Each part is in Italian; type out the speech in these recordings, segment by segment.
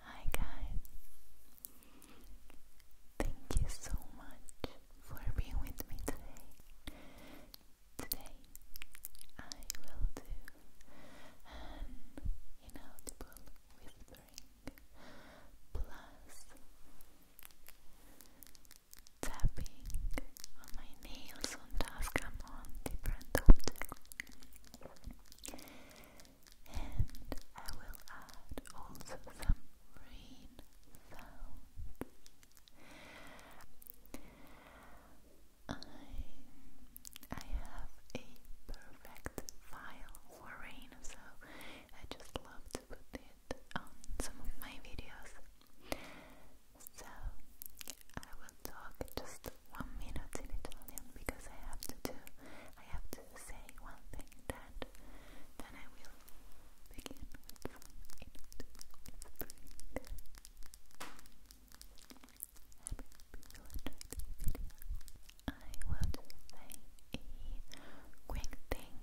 Hi guys. Thank you so much for being with me today. Today I will do an inaudible whispering plus tapping on my nails on Tascam on different objects and I will add also some rain sounds I I have a perfect file for rain, so I just love to put it on some of my videos. So I will talk just one minute in Italian because I have to do I have to say one thing that then I will begin with one will just say a quick thing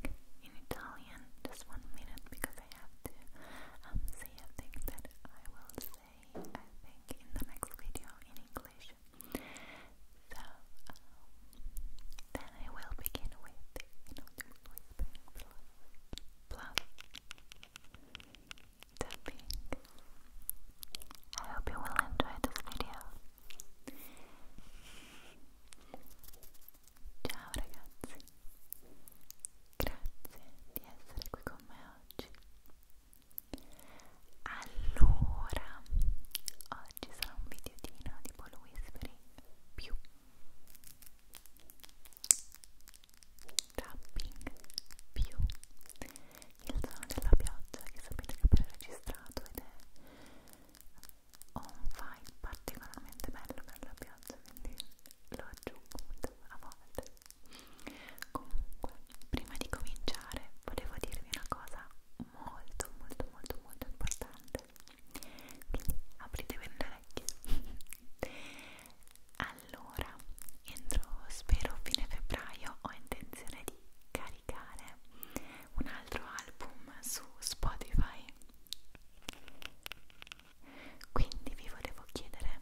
in Italian, just one minute, because I have to um, say a thing that I will say, I think, in the next video in English. So, then I will begin with, you know, just whispering, bluff, tapping. I hope you will enjoy this video. Ciao ragazzi, grazie di essere qui con me oggi. Allora, oggi sarà un videotino di Paul Whispering più tapping più il suono della pioggia che sapete che ho registrato ed è un file particolarmente bello per la pioggia quindi lo aggiungo a volte comunque prima di cominciare volevo dirvi una cosa molto molto molto molto importante quindi aprite bene le orecchie allora entro spero fine febbraio ho intenzione di caricare un altro album su Spotify quindi vi volevo chiedere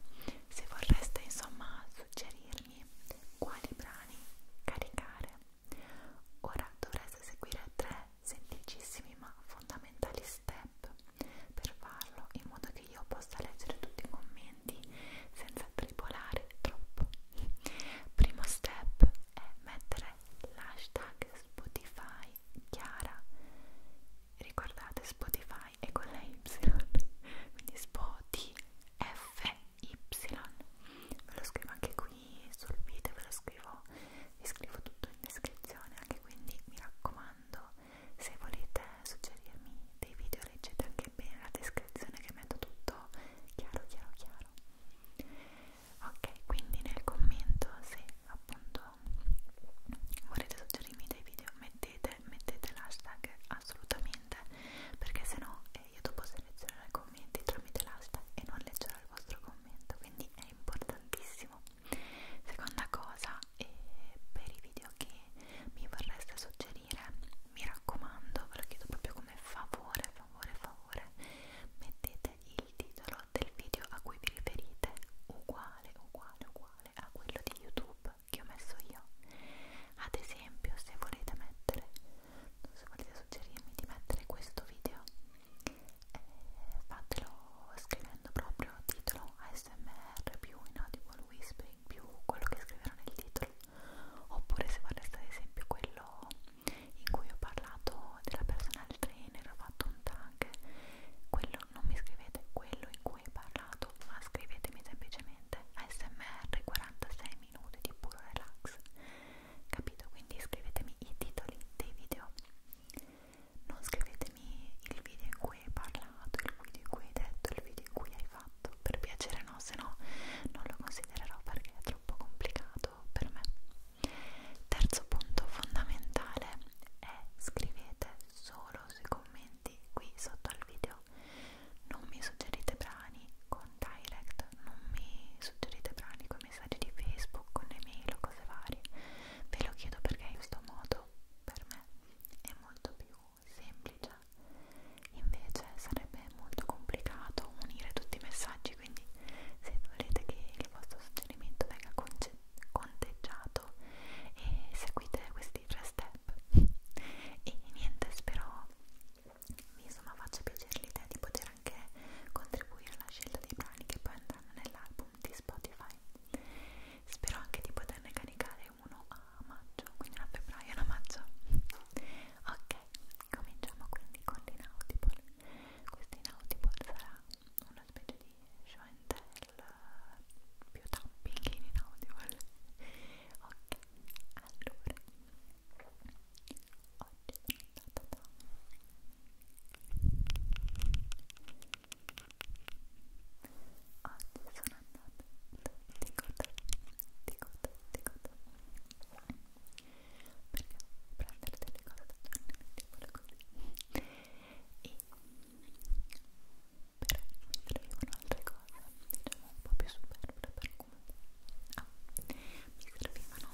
se vorreste insomma suggerirmi quali brani caricare ora dovreste seguire tre semplicissimi ma fondamentali step per farlo in modo che io possa leggere tutti i commenti movimenti senza tripolare troppo. Primo step è mettere l'hashtag Spotify Chiara. Ricordate Spotify è con la Y, quindi SPOTFY. Ve lo scrivo anche qui sul video, ve lo scrivo, vi scrivo tutto in descrizione anche quindi mi raccomando se volete suggerirmi dei video leggete anche bene la descrizione che metto tutto chiaro chiaro chiaro ok quindi nel commento se appunto volete suggerirmi dei video mettete mettete l'hashtag assolutamente perché sennò eh, io dopo selezionerò i commenti tramite l'hashtag e non leggerò il vostro commento quindi è importantissimo seconda cosa eh, per i video che mi vorreste suggerire mi raccomando ve lo chiedo proprio come favore favore favore mettete il titolo del video a cui vi riferite uguale uguale uguale a quello di youtube che ho messo io ad esempio se volete mettere se volete suggerirmi di mettere questo video eh, fatelo scrivendo proprio titolo ASMR più in audible whispering in più quello che scriverò nel titolo oppure se vorreste ad esempio quello in cui ho parlato della personal trainer ho fatto un tag quello non mi scrivete quello in cui ho parlato ma scrivetemi semplicemente ASMR 46 minuti di puro relax capito? quindi scrivetemi i titoli dei video non scrivetemi il video in cui parla considerato, il video in cui hai detto, il video in cui hai fatto, per piacere no, se no non lo considererò perché è troppo complicato per me. Terzo punto fondamentale è scrivete solo sui commenti qui sotto al video, non mi suggerite brani con direct, non mi suggerite brani con messaggi di Facebook, con email o cose varie, ve lo chiedo perché in questo modo per me è molto più semplice invece sarebbe molto complicato unire tutti i messaggi quindi se volete che il vostro suggerimento venga conteggiato e seguite questi tre step e niente spero vi insomma faccia piacere l'idea di poter anche contribuire alla scelta dei brani che poi andranno nell'album di Spotify spero anche di poterne caricare fare uno a maggio, quindi una a febbraio e una a maggio. Ok, cominciamo quindi con l'inaudible. Questo inaudible sarà una specie di show and tell eh, più tapping in inaudible. Ok, allora oggi ta ta ta. Oggi sono sono andata di coda, di coda, di coda perché prendere delle cose da giorni mettiamole così e però mentre vivono altre cose diciamo un po' più superflue per come ah, mi servivano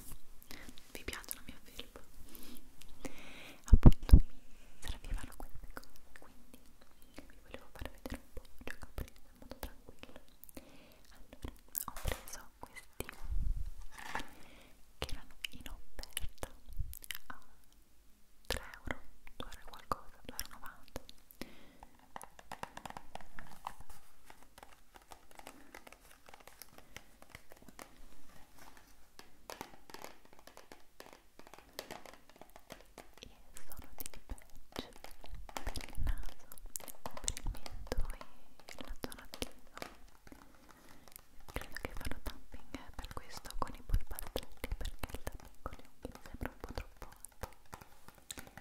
vi piacciono mio film appunto mi servivano queste cose quindi mi vi volevo far vedere un po' ciò che ho preso in modo tranquillo allora ho preso questi che erano in offerta a 3 euro 2 euro qualcosa 2,90 euro sono dei patch per il naso, per il mento e la zona attiva credo che farò tapping per questo con i polpazzetti perché il tapping con gli occhi mi sembra un po' troppo alto allora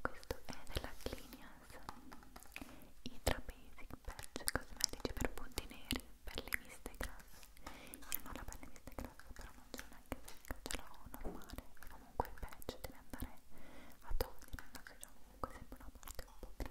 questo è della Clinias Hydra Basic Patch cosmetici per punti neri, pelle miste grave grave io non ho la pelle disintegrata però non ce l'ho neanche secca ce l'ho normale e comunque il patch deve andare a togliere la cioè comunque sembra una parte un po' grave e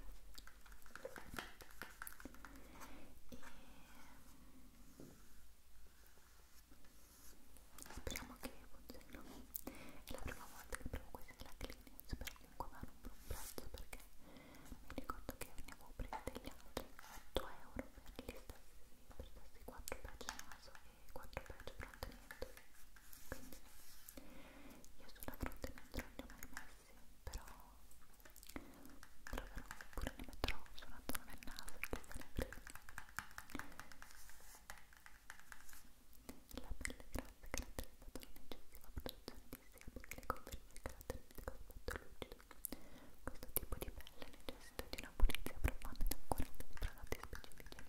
speriamo che funzioni è la prima volta che provo questi lacrini spero comunque vanno per un prezzo perché mi ricordo che ne avevo presi degli altri a 8 euro gli stessi, per stessi 4 patch naso e 4 patch fronte quindi io sulla fronte non li ho mai messi però troverò oppure ne metterò sulla zona del naso che se ne presa la pelle grassa caratterizzata da un'eccessiva produzione di sebo che le conferisce il caratteristico aspetto lucido questo tipo di pelle necessita di una pulizia profonda ed accurata di prodotti specifici.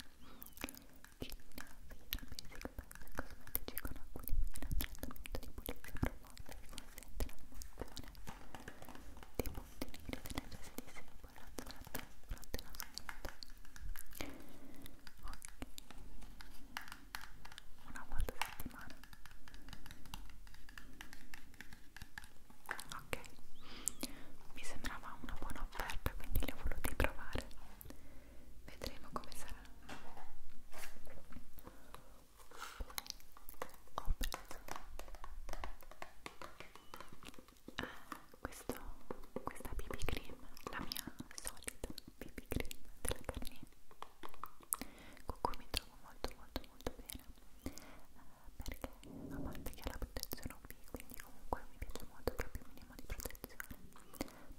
China, Vira, Basic Pets cosmetici con acqua di mela, trattamento di pulizia profonda che consente la rimozione dei punti neri delle geste di sebo, lazzolate, fronte e nascosto. Ok, una volta a settimana. Poi ok mi sembrava una buona offerta quindi le ho volute provare vedremo come sarà ho ah, preso questo, questa BB cream la mia solita BB cream della Garnier con cui mi trovo molto molto molto bene eh, perché a parte che ha la protezione UV quindi comunque mi piace molto che più minimo di protezione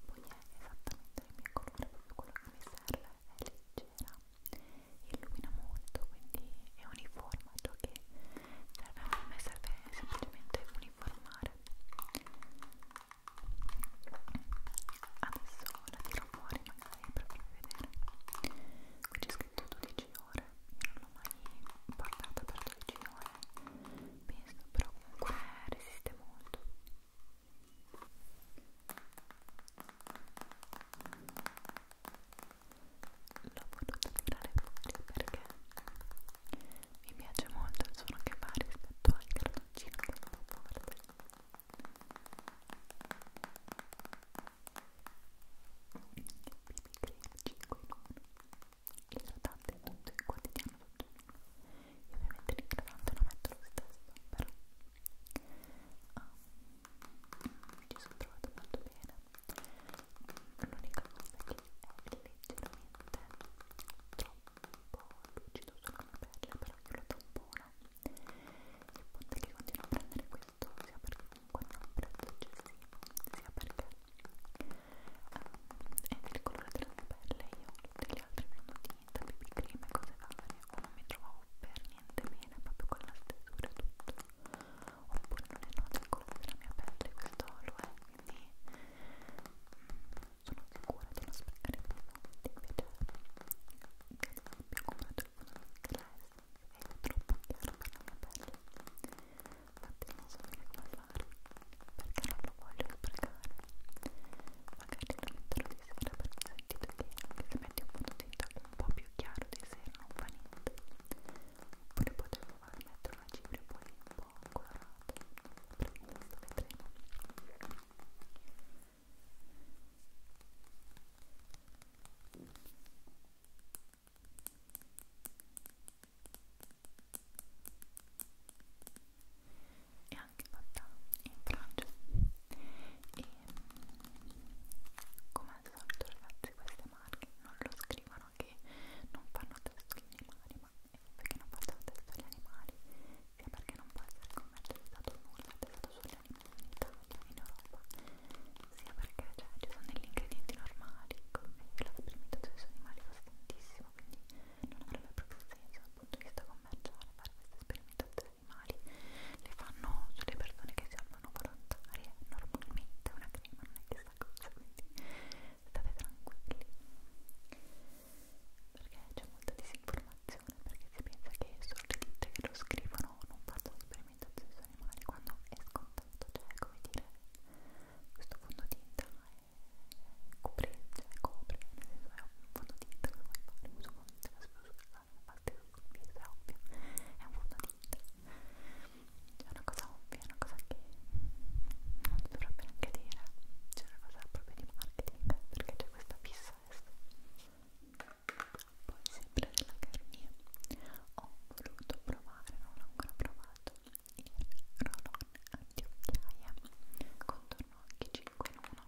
poi è esattamente il mio colore proprio quello che mi serve è leggera illumina molto quindi è uniforme ciò che serve a me serve semplicemente uniformare adesso la tiro fuori magari live per farvi vedere qui c'è scritto 12 ore io non l'ho mai portata per 12 ore penso però comunque resiste molto l'ho voluta tirare fuori perché mi piace molto il suono che fa rispetto al cartoncino che non porta idratante tutto il quotidiano tutto io ovviamente l'idratante lo metto lo stesso però um, mi ci sono trovato molto bene l'unica cosa che è leggermente troppo lucido sulla mia pelle però io lo tampono il punto è che continuo a prendere quei soprattutto sia perché comunque non ha un prezzo eccessivo sia perché um, è del colore della mia pelle io tutte le altre monotinta, baby cream e cose varie o non mi trovavo per niente bene proprio con la stesura e tutto oppure non è noto il colore della mia pelle questo lo è quindi mm, sono sicura di non sprecare più soldi invece mi ho comprato il fondo di class è troppo chiaro per la mia pelle infatti non so bene come fare perché non lo voglio sprecare magari lo metterò di sera perché ho sentito che anche se metti un fondotinta un po' più chiaro di sera non fa niente oppure potevo far mettere una cipria poi un po' colorata per il vedremo è anche fatta in Francia e come al solito ragazzi queste marche non lo scrivono che non fanno testo agli animali ma perché non fanno testo agli animali sia perché non può essere commercializzato nulla testato sugli animali in Italia, in Europa sia perché cioè, ci sono degli ingredienti normali ecco, e la sperimentazione sugli animali costa tantissimo quindi non avrebbe proprio senso dal punto di vista commerciale fare queste sperimentazioni animali le fanno sulle persone che si amano volontarie normalmente una crema non è chissà cosa quindi state tranquilli perché c'è molta disinformazione perché si pensa che solo le ditte che lo scrivono no, non faccio sperimentazioni su animali quando è scontato, cioè come dire, questo fondotinta è copre, cioè copre, nel senso è un fondotinta che vuoi fare, uso fondotinta, batte sul viso, è ovvio, è un fondotinta, cioè, è una cosa ovvia, è una cosa che non si dovrebbe neanche dire, c'è cioè, una cosa proprio di marketing, perché c'è questa fissa adesso poi sempre della Garnier ho voluto provare, non l'ho ancora provato il roll-on anti-occhiaia contorno occhi 5 in 1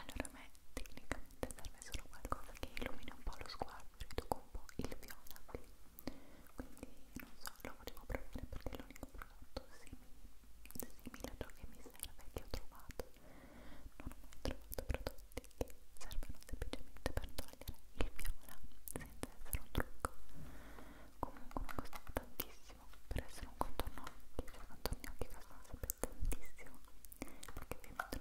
allora a me tecnicamente serve solo qualcosa che illumina un po' lo sguardo riduco un po' il viola quindi non so, lo volevo provare perché è l'unico prodotto simile, simile a ciò che mi serve che ho trovato non ho mai trovato prodotti che servono semplicemente per togliere il viola senza essere un trucco comunque mi costava tantissimo per essere un contorno occhi cioè contorni occhi costano sempre tantissimo perché ovviamente non sono molto delicate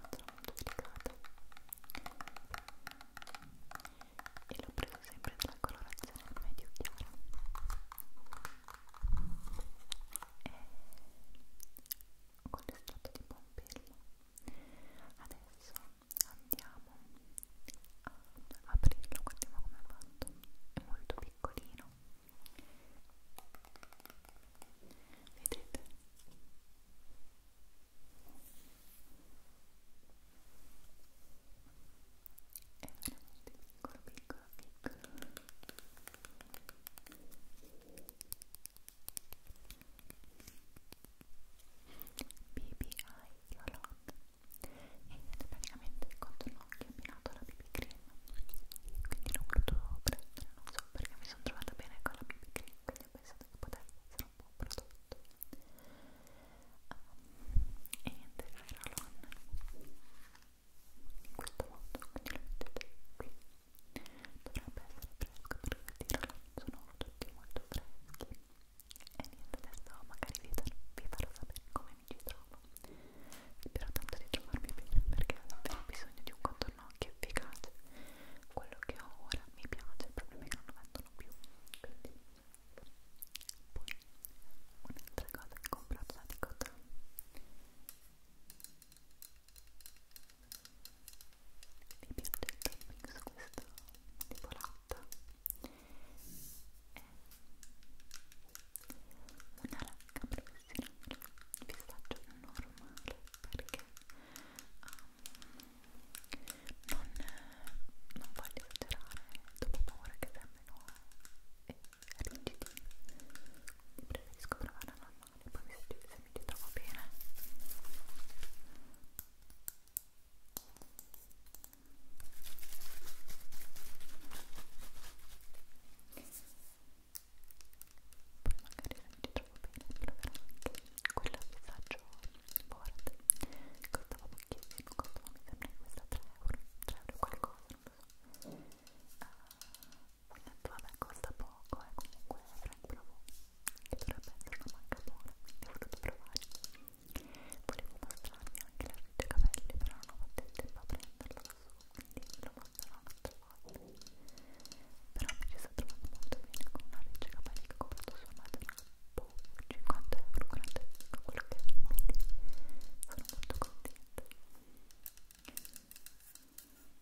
e l'ho preso sempre dalla colorazione medio chiara e con l'estratto di pompelmo. Adesso andiamo a aprirlo, guardiamo come è fatto, è molto piccolino. Vedete? È veramente piccolo, piccolo, piccolo. BB Eye Color ed è praticamente il contorno occhi abbinato alla BB Cream quindi l'ho voluto prendere, non so perché mi sono trovata bene con la BB Cream quindi ho pensato che potesse essere un buon prodotto um, e niente, Fairalon in questo modo quindi lo mettete qui dovrebbe essere fresco perché tirano sono tutti molto freschi e niente adesso magari vi, vi farò sapere come mi ci trovo spero tanto di trovarmi bene perché ho davvero bisogno di un contorno occhio efficace quello che ho ora mi piace il problema è che non lo vendono più quindi poi un'altra cosa che ho comprato da Dicotan mi piace il topping su questo tipo latta è una lacca professionale pistacchio normale perché um, non, non voglio esagerare dopo un'ora che termino e rigidi preferisco provare la normale poi mi studio se mi ci trovo bene poi magari se mi ci trovo bene proverò anche quello a visaggio board costava pochissimo costava mi sembra questa 3 euro 3 euro qualcosa non lo so detto vabbè costa poco e eh, comunque Frank provò che dovrebbe essere una banca buona quindi ho voluto provare volevo mostrarvi anche la riccia capelli però non ho fatto il tempo a prenderla da su quindi ve lo mostrerò un'altra volta però mi ci sto trovando molto bene con una riccia capelli che ho comprato su Amazon 50 euro grande quello che è quindi sono molto contenta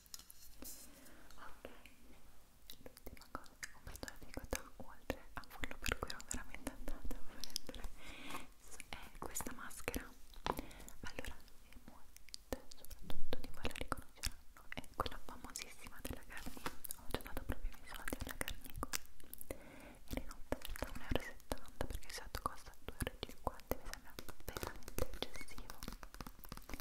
ok l'ultima cosa che ho comprato la ricotta oltre a quello per cui ero veramente andata a prendere è questa maschera allora e molte soprattutto di voi la riconosceranno è quella famosissima della Garnier ho già dato proprio i miei soldi alla Garnier ed è in offerta 1,70€ perché il set costa 2,50€ mi sembra veramente eccessivo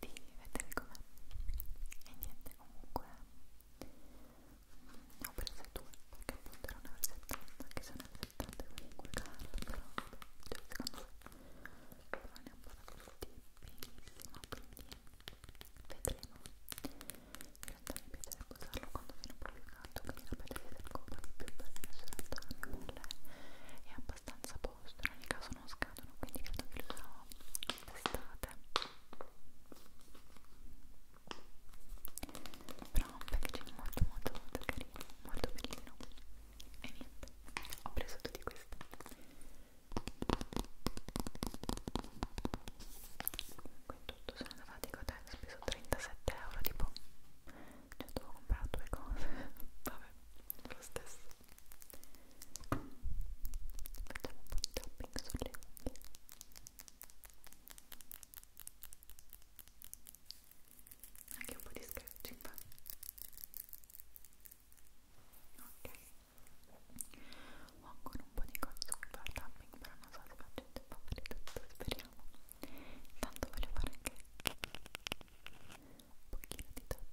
di vedere com'è e niente comunque mh, ho preso due perché appunto erano per 70 che sono per 70 comunque caro però cioè secondo me non ne ho parlato tutti benissimo quindi vedremo in realtà mi piacerebbe usarlo quando viene un po' più caldo quindi la pelle si scopa di più perché in realtà la mia pelle è abbastanza a posto in ogni caso non scadono quindi credo che lo userò d'estate però un packaging molto molto molto carino molto bellino e niente ho preso tutti questi comunque in tutto sono andata di hotel ho speso 37 euro tipo cioè dovevo comprare due cose vabbè lo stesso Facciamo un po' di tapping sulle unghie. Anche un po' di scratching. Ok. Ho ancora un po' di cose su cui fare tapping, però non so se faccio il tempo a fare tutto, speriamo. Intanto voglio fare anche un pochino di tapping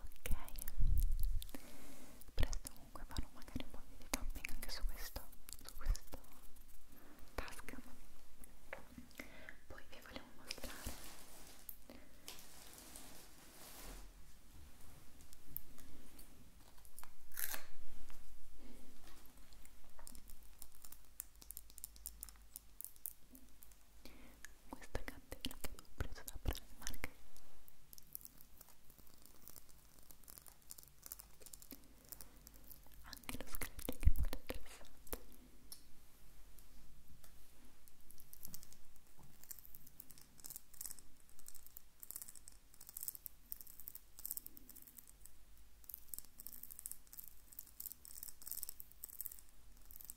ok presto comunque farò magari un po' di tapping anche su questo su questo task poi vi volevo mostrare questa candela che ho preso da Primark anche lo scratching è molto interessante Ecco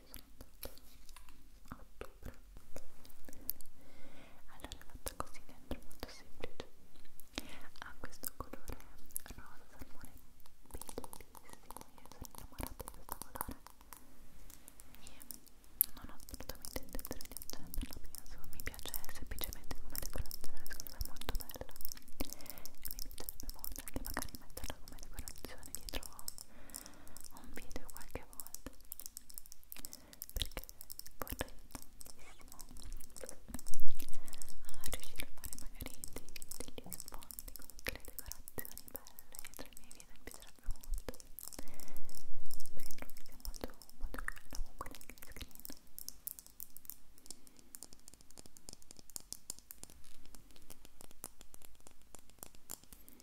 ci sono andata a ottobre allora è fatta così dentro, molto semplice ha questo colore rosa salmone bellissimo io sono innamorata di questo colore e non ho assolutamente intenzione di accenderla penso, mi piace semplicemente come decorazione secondo me è molto bella e mi piacerebbe molto anche magari metterla come decorazione dietro un video qualche volta perché vorrei tantissimo a ah, riuscire a fare magari degli, degli sfondi con tutte le decorazioni belle tra i miei video mi piacerebbe molto perché trovo che sia molto, molto bello comunque nel green screen e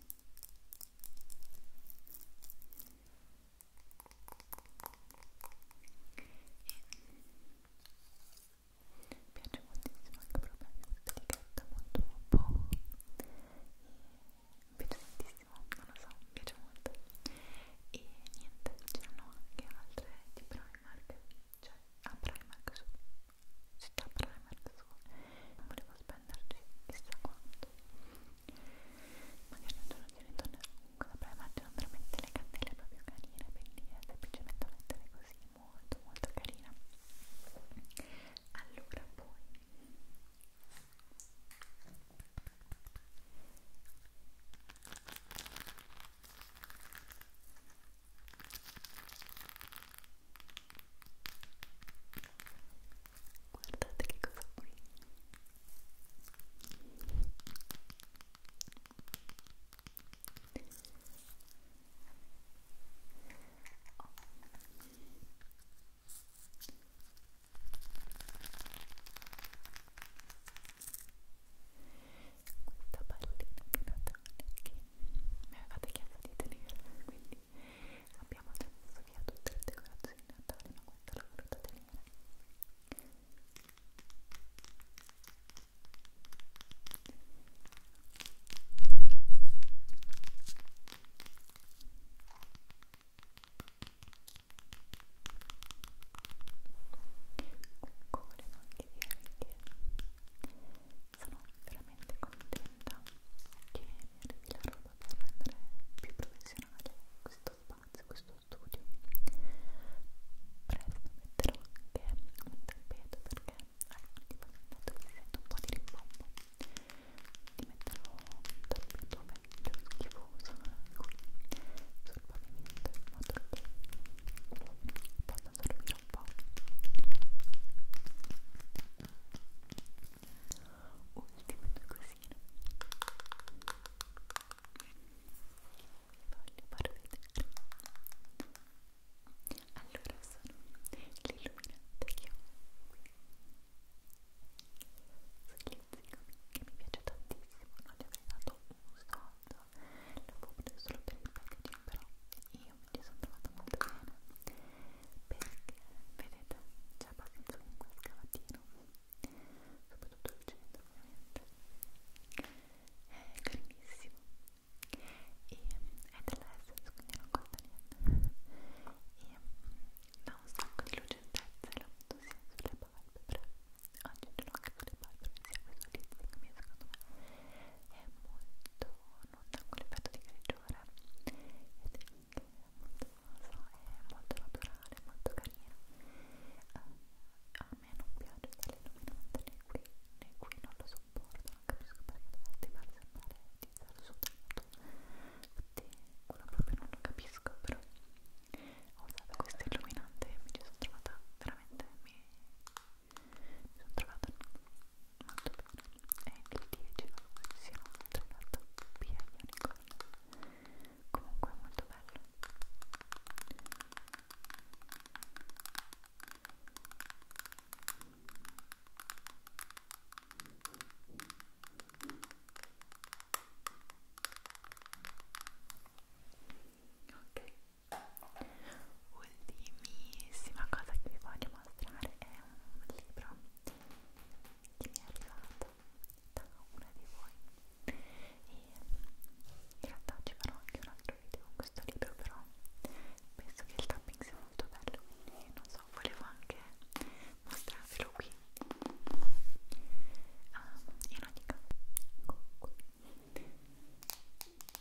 piace moltissimo anche proprio questa etichetta molto un po' mi piace tantissimo, non lo so, mi piace molto e niente, c'erano anche altre di Primark cioè a ah, Primark su città per le persone non volevo spenderci chissà quanto magari un giorno ci ritornerò comunque la prima non veramente le candele proprio carine quindi è eh, semplicemente da mettere così molto molto carina allora poi Guardate che cosa qui. Questa pallina di Natale che mi avevate chiesto di tenere, quindi abbiamo messo via tutte le decorazioni di Natale ma questa l'ho voluta tenere Comunque volevo anche dirvi che sono veramente contenta che mi arrivi la roba per rendere più professionale questo spazio, questo studio presto metterò anche un tappeto perché allora eh, tipo mi detto che sento un po' di rimbombo ti metterò un tappeto vecchio schifoso qui sul pavimento in modo che possa a dormire un po' ultime due cosine voglio far vedere allora sono l'illuminante che ho qui che mi piace tantissimo non gli avrei dato un soldo l'ho preso solo per il packaging però io mi ci sono trovata molto bene perché vedete c'è abbastanza comunque il cavatino soprattutto il centro ovviamente è carinissimo e è dell'essence quindi non costa niente e mm, dà un sacco di lucentezza e l'ho messo sia sulle palpebre oggi ce l'ho anche sulle palpebre sia questo lì perché secondo me è molto nuda con l'effetto di grigiore ed è molto rosa, è molto naturale, molto carina eh, a me non piace dalle illuminante né qui né qui non lo sopporto non capisco perché ti fa sembrare di stare soltanto infatti quello proprio non lo capisco però ho usato questo illuminante e mi ci sono trovata veramente mi mi sono trovata molto bene e il 10 luglio si è trattato via Unicorn comunque è molto bello ok ultimissima cosa che vi voglio mostrare è un libro che mi è arrivato da una di voi e in realtà ci farò anche un altro video con questo libro però penso che il tapping sia molto bello quindi non so, volevo anche mostrarvelo qui um, in ogni caso comunque ecco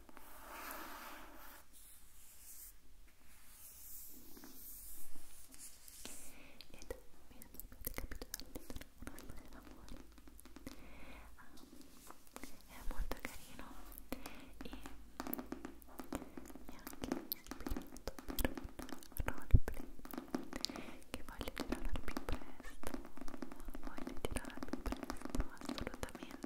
avete capito dall'interno una storia d'amore um, è molto carino e è anche ispirato per un roleplay che voglio tirare più presto voglio tirare più presto assolutamente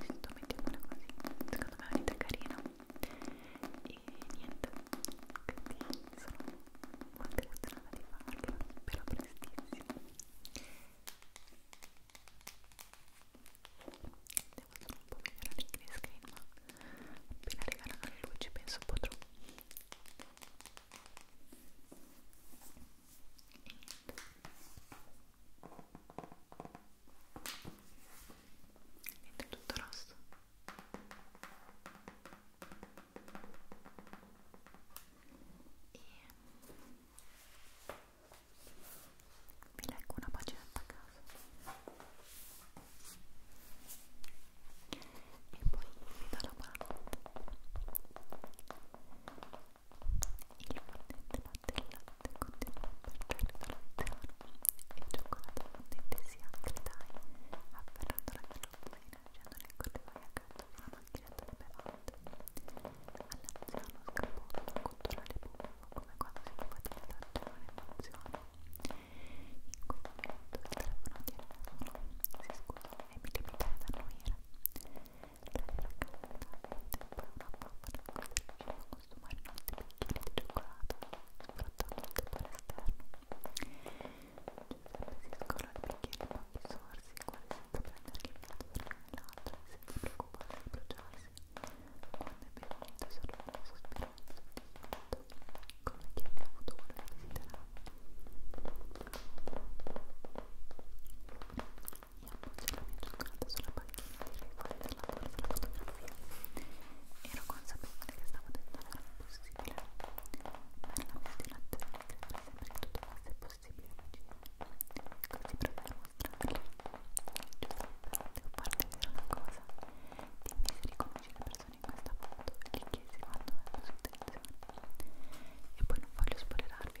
sento mettiamola così secondo me è un'idea carina e niente quindi sono molto emozionata di farlo spero prestissimo devo solo un po' migliorare il green screen ma appena arriveranno le luci penso potrò e niente niente tutto rosso e vi leggo una paginetta a caso e poi vi do la buonanotte il fondente la latte, il latte continua per l'idolazione e il cioccolato fondente si accredai afferrando la carrozzina scendendo nel corridoio accanto alla macchinetta di bevande all'anziano scappò un controllare buffo come quando si compatia da ragione emozione in quel momento il telefono di Erasmo si scusò e mi limitare da noi era lei era calda e poi una bambana che si riusciva consumare un altro bicchiere di cioccolato sfruttando cioè, il sapore esterno. Giuseppe si scola il bicchiere in pochi sorsi, quasi senza prendere il piatto da nell'altro e senza preoccuparsi di bruciarsi. Quando ebbe finito solo un sospiro soddisfatto, come chi abbia avuto quello che desiderava e annuncio la mia giornata sulla panchina di rivoli del lavoro della fotografia. Ero consapevole che stavo tentando era possibile, ma era la mia dilazione di credere sempre che tutto fosse possibile riuscire. Così provai a mostrarle. Giustamente, devo farti dire una cosa. Dimmi se riconosci le persone in questa foto e gli chiesi quando è la sua intenzione. E poi non voglio spoilerarvi.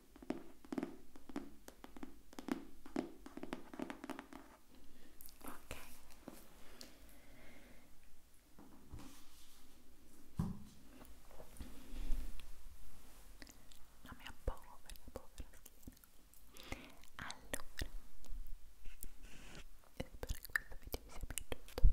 Ok. La mia povera, povera schiena. Allora, spero che questo video vi sia piaciuto.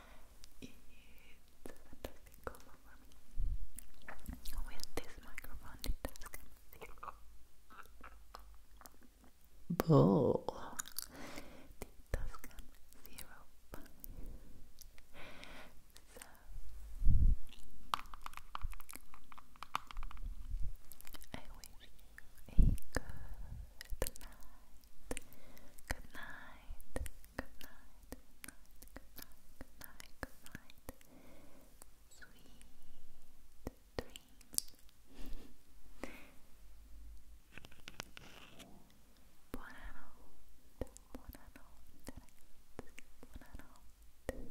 It's a for me. With this microphone, it does come Bull. The Tuscan Zero Five. So, I wish you a good night. Good night good night, good night, good night, good night, Sweet dreams. Buonanotte, buonanotte ragazzi, buonanotte noches, tu noches.